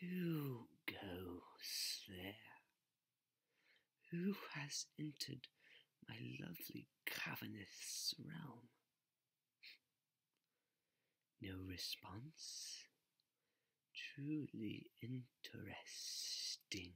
Who goes there? Who has entered my lovely cavernous realm? No response. Truly interesting.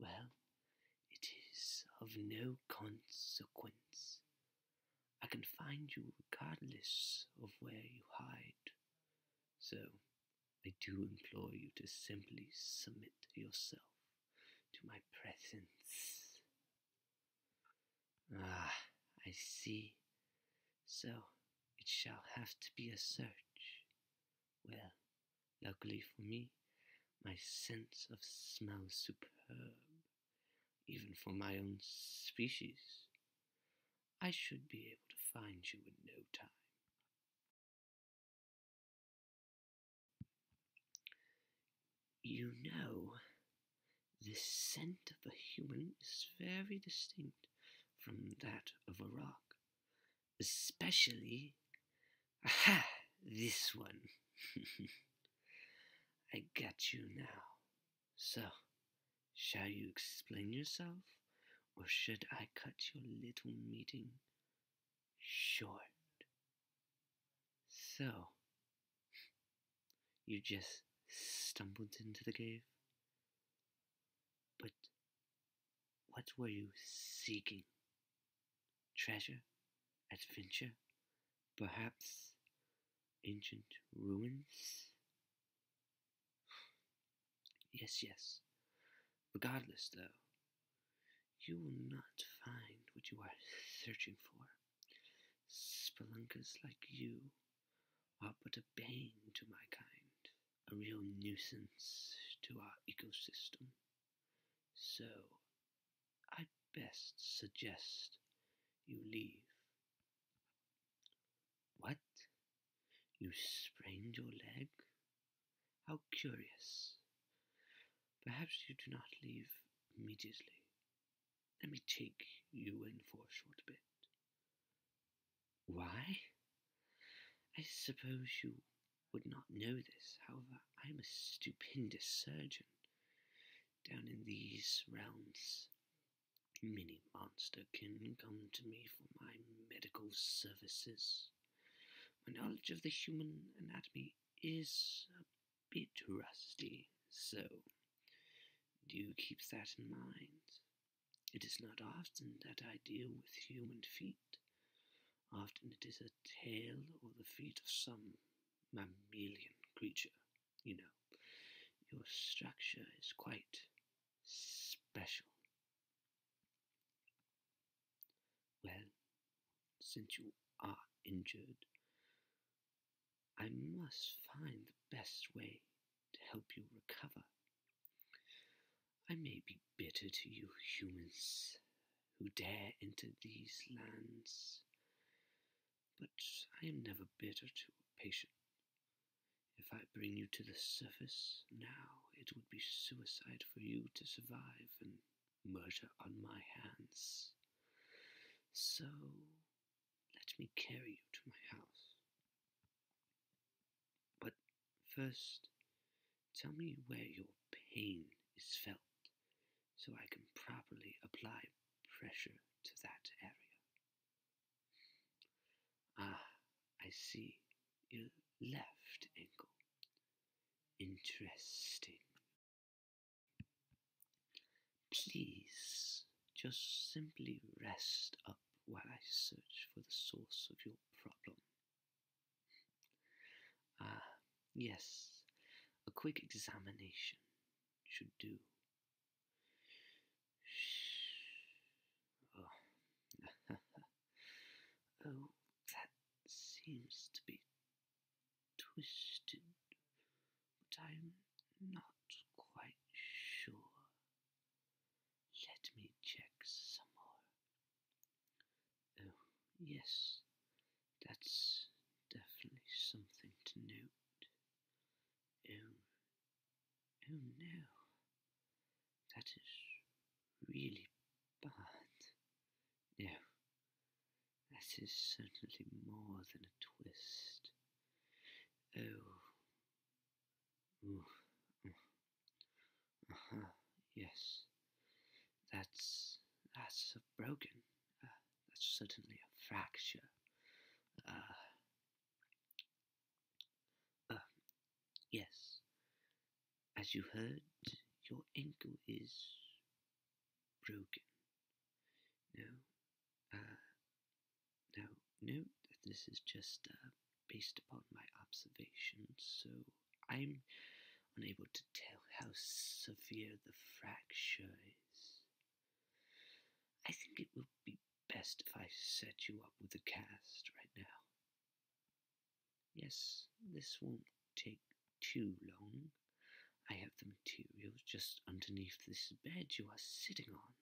Well, it is of no consequence. I can find you regardless of where you hide. So, I do implore you to simply submit yourself to my presence. Ah, I see. So, it shall have to be a search. Well, luckily for me, my sense of smell superb even for my own species, I should be able to find you in no time. You know, the scent of a human is very distinct from that of a rock, especially. Aha! This one. I got you now. So, shall you explain yourself, or should I cut your little meeting short? So, you just stumbled into the cave? But what were you seeking? Treasure? Adventure? Perhaps ancient ruins? Yes, yes. Regardless, though, you will not find what you are searching for. Spelunkers like you are but a bane to my kind, a real nuisance to our ecosystem. So, I best suggest you leave. What? You sprained your leg? How curious. Perhaps you do not leave immediately. Let me take you in for a short bit. Why? I suppose you would not know this, however, I am a stupendous surgeon down in these realms. many monster can come to me for my medical services. My knowledge of the human anatomy is a bit rusty, so do keep that in mind. It is not often that I deal with human feet. Often it is a tail or the feet of some mammalian creature, you know. Your structure is quite special. Well, since you are injured, I must find the best way to help you recover. I may be bitter to you humans, who dare enter these lands. But I am never bitter to a patient. If I bring you to the surface now, it would be suicide for you to survive and murder on my hands. So let me carry you to my house. But first, tell me where your pain is felt so I can properly apply pressure to that area. Ah, I see your left ankle. Interesting. Please just simply rest up while I search for the source of your problem. Ah, yes, a quick examination should do. Oh. oh, that seems to be twisted, but I'm not quite sure. Let me check some more. Oh, yes, that's definitely something to note. Oh, oh no, that is really bad. No, that is certainly more than a twist. Oh, Ooh. Mm, uh-huh, aha, yes. That's that's broken. Uh, that's certainly a fracture. Uh, uh, yes. As you heard, your ankle is broken. Now, uh, no, no. This is just uh, based upon my observations. So, I'm unable to tell how severe the fracture is. I think it will be best if I set you up with a cast right now. Yes, this won't take too long. I have the materials just underneath this bed you are sitting on.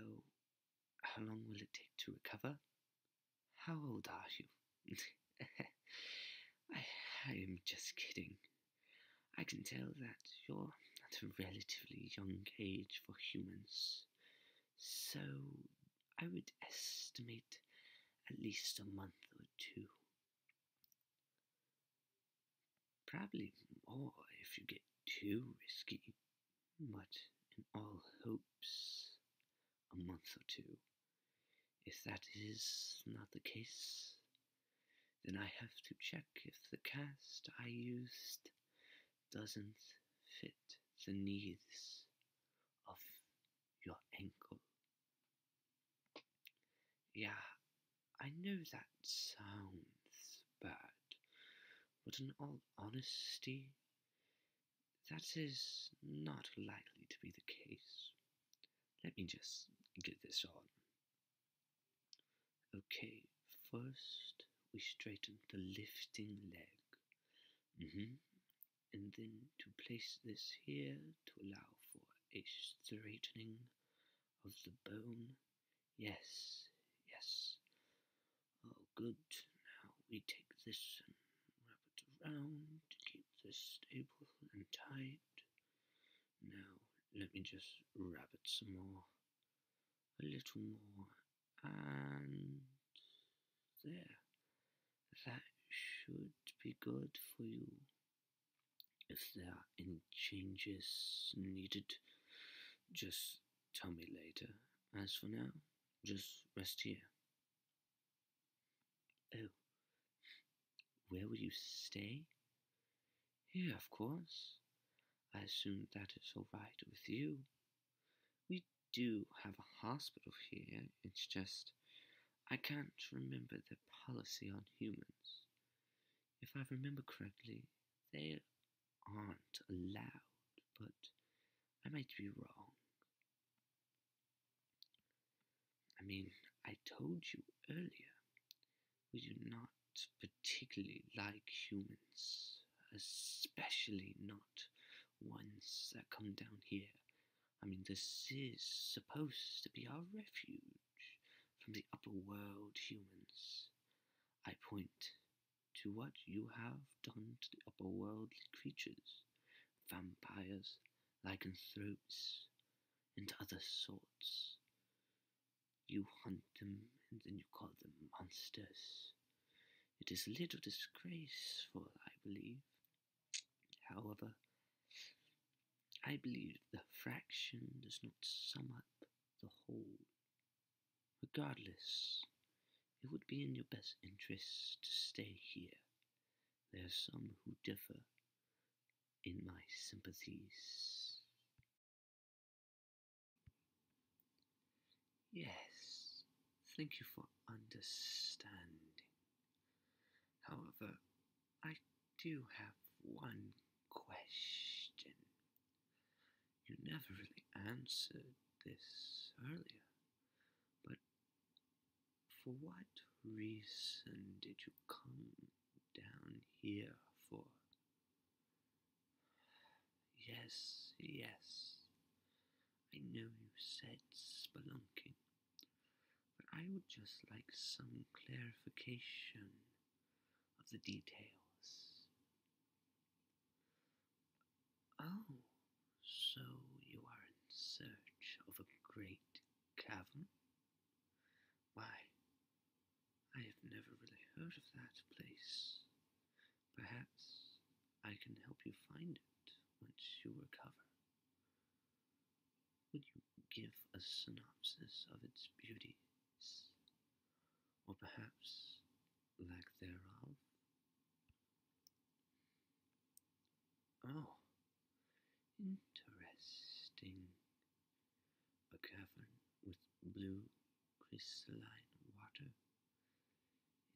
Oh, how long will it take to recover? How old are you? I, am just kidding. I can tell that you're at a relatively young age for humans, so I would estimate at least a month or two. Probably more if you get too risky, but in all hopes a month or two. If that is not the case, then I have to check if the cast I used doesn't fit the needs of your ankle. Yeah, I know that sounds bad, but in all honesty, that is not likely to be the case. Let me just get this on. Okay, first we straighten the lifting leg. Mm-hmm. And then to place this here to allow for a straightening of the bone. Yes, yes. Oh, good. Now we take this wrap it around to keep this stable and tight. Now, let me just wrap it some more, a little more, and there. That should be good for you. If there are any changes needed, just tell me later. As for now, just rest here. Oh, where will you stay? Here, of course. I assume that is all right with you. We do have a hospital here, it's just I can't remember the policy on humans. If I remember correctly, they aren't allowed, but I might be wrong. I mean, I told you earlier, we do not particularly like humans, especially not ones that come down here. I mean, this is supposed to be our refuge from the upper world humans. I point to what you have done to the otherworldly creatures, vampires, lycanthropes, and other sorts. You hunt them and then you call them monsters. It is a little disgraceful, I believe. However, I believe the fraction does not sum up the whole. Regardless, it would be in your best interest to stay here. There are some who differ in my sympathies. Yes, thank you for understanding. However, I do have one question. You never really answered this earlier. But for what reason did you come down here for? Yes, yes. I know you said spelunking, but I would just like some clarification of the details. Oh, so you are in search of a great cavern? Why, I have never really heard of that place. Perhaps I can help you find it once you recover. Would you give a synopsis of its beauties? Or perhaps lack thereof. Oh, interesting. A cavern with blue crystalline water.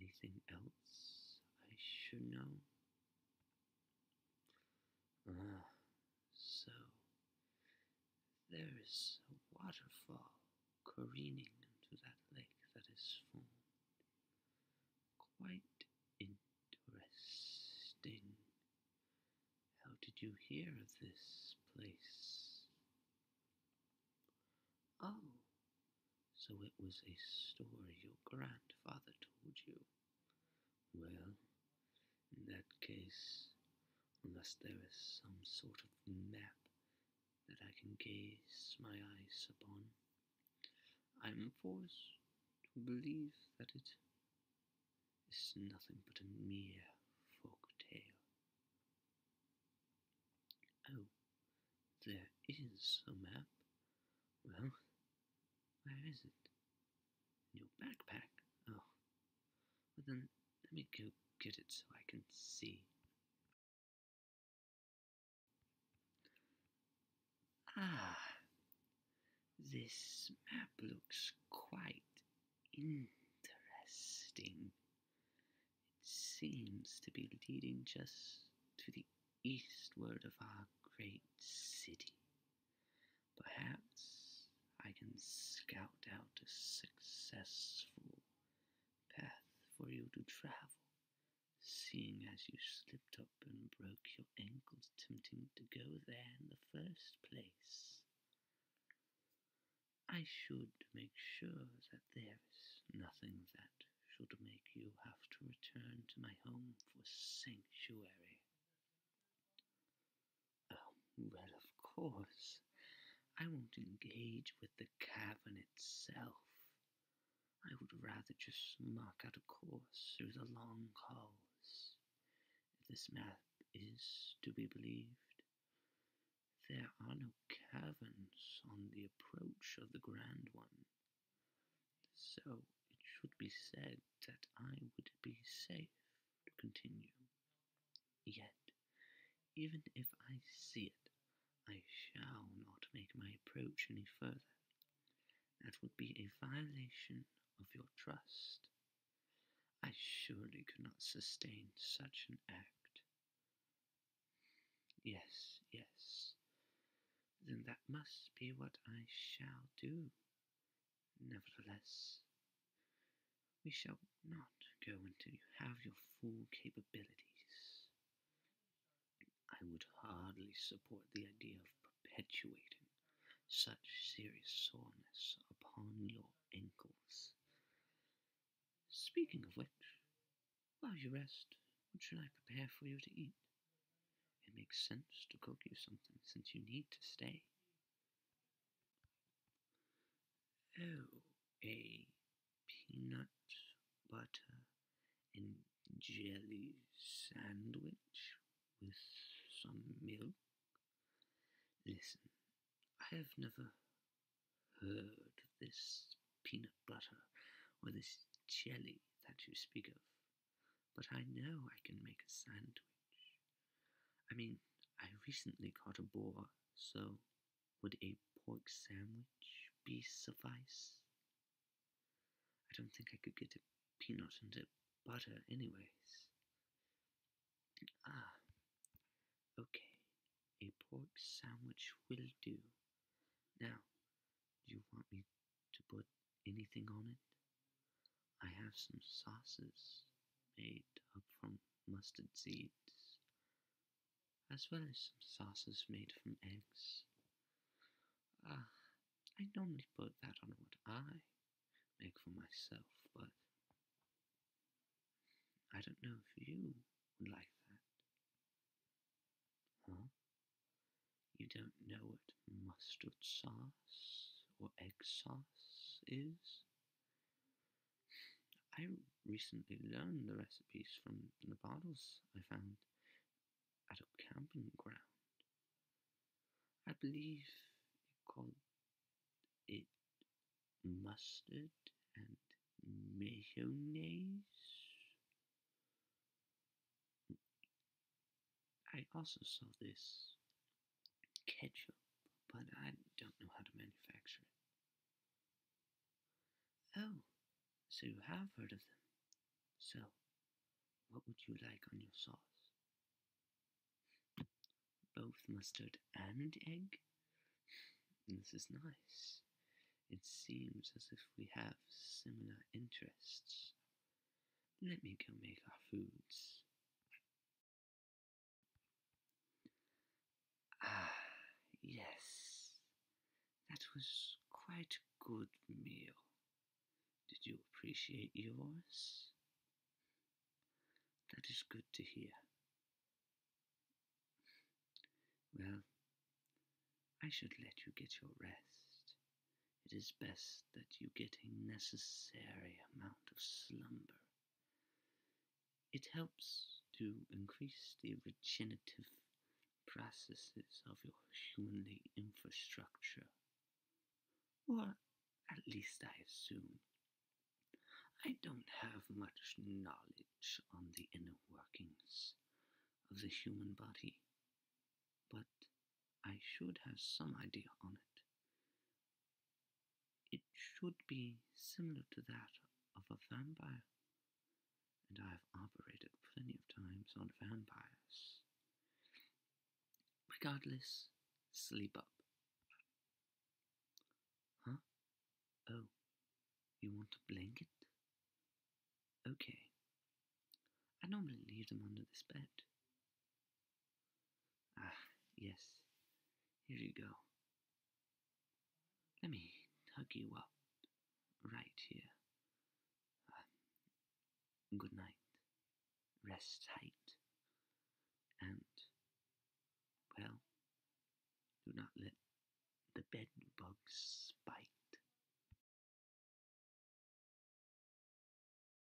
Anything else I should know? Ah, so there is a waterfall careening into that lake that is formed. Quite interesting. How did you hear of this place? Oh, so it was a story your grandfather told you. Well, in that case, unless there is some sort of map that I can gaze my eyes upon. I am forced to believe that it is nothing but a mere folk tale. Oh, there is a map. Well, where is it? In your backpack? Oh, well then, let me go get it so I can see. Ah, this map looks quite interesting. It seems to be leading just to the eastward of our great city. Perhaps I can scout out a successful path for you to travel, seeing as you slipped up and broke your ankles tempting to go there in the first place. I should make sure that there is nothing that should make you have to return to my home for sanctuary. Oh, well, of course. I won't engage with the cavern itself. I would rather just mark out a course through the long halls. If this map is to be believed, there are no caverns on the approach of the Grand One. So it should be said that I would be safe to continue. Yet, even if I see it, I shall not make my approach any further. That would be a violation of your trust. I surely could not sustain such an act. Yes, yes. Then that must be what I shall do. Nevertheless, we shall not go until you have your full capabilities. I would hardly support the idea of perpetuating such serious soreness upon your ankles. Speaking of which, while you rest, what should I prepare for you to eat? It makes sense to cook you something since you need to stay. Oh, a peanut butter and jelly sandwich with some milk? Listen, I have never heard of this peanut butter or this jelly that you speak of, but I know I can make a sandwich. I mean, I recently caught a boar, so would a pork sandwich be suffice? I don't think I could get a peanut and a butter anyways. Ah, okay, a pork sandwich will do. Now, do you want me to put anything on it? I have some sauces made up from mustard seeds, as well as some sauces made from eggs. Ah, I normally put that on what I make for myself, but I don't know if you would like that. Huh? You don't know what mustard sauce or egg sauce is? I recently learned the recipes from the bottles I found at a camping ground. I believe it called it mustard and mayonnaise. I also saw this ketchup, but I don't know how to manufacture it. Oh, so you have heard of them. So, what would you like on your sauce? Both mustard and egg? This is nice. It seems as if we have similar interests. Let me go make our foods. Ah, yes, that was quite a good meal. Did you appreciate yours? That is good to hear. Well, I should let you get your rest. It is best that you get a necessary amount of slumber it helps to increase the regenerative processes of your humanly infrastructure. Or at least I assume. I don't have much knowledge on the inner workings of the human body, but I should have some idea on it. It should be similar to that of a vampire, and I have operated plenty of times on vampires. Regardless, sleep up. Huh? Oh, you want a blanket? Okay. I normally leave them under this bed. Ah, yes. Here you go. Let me hug you up right here. Ah, good night. Rest tight. And, well, do not let the bed bugs bite.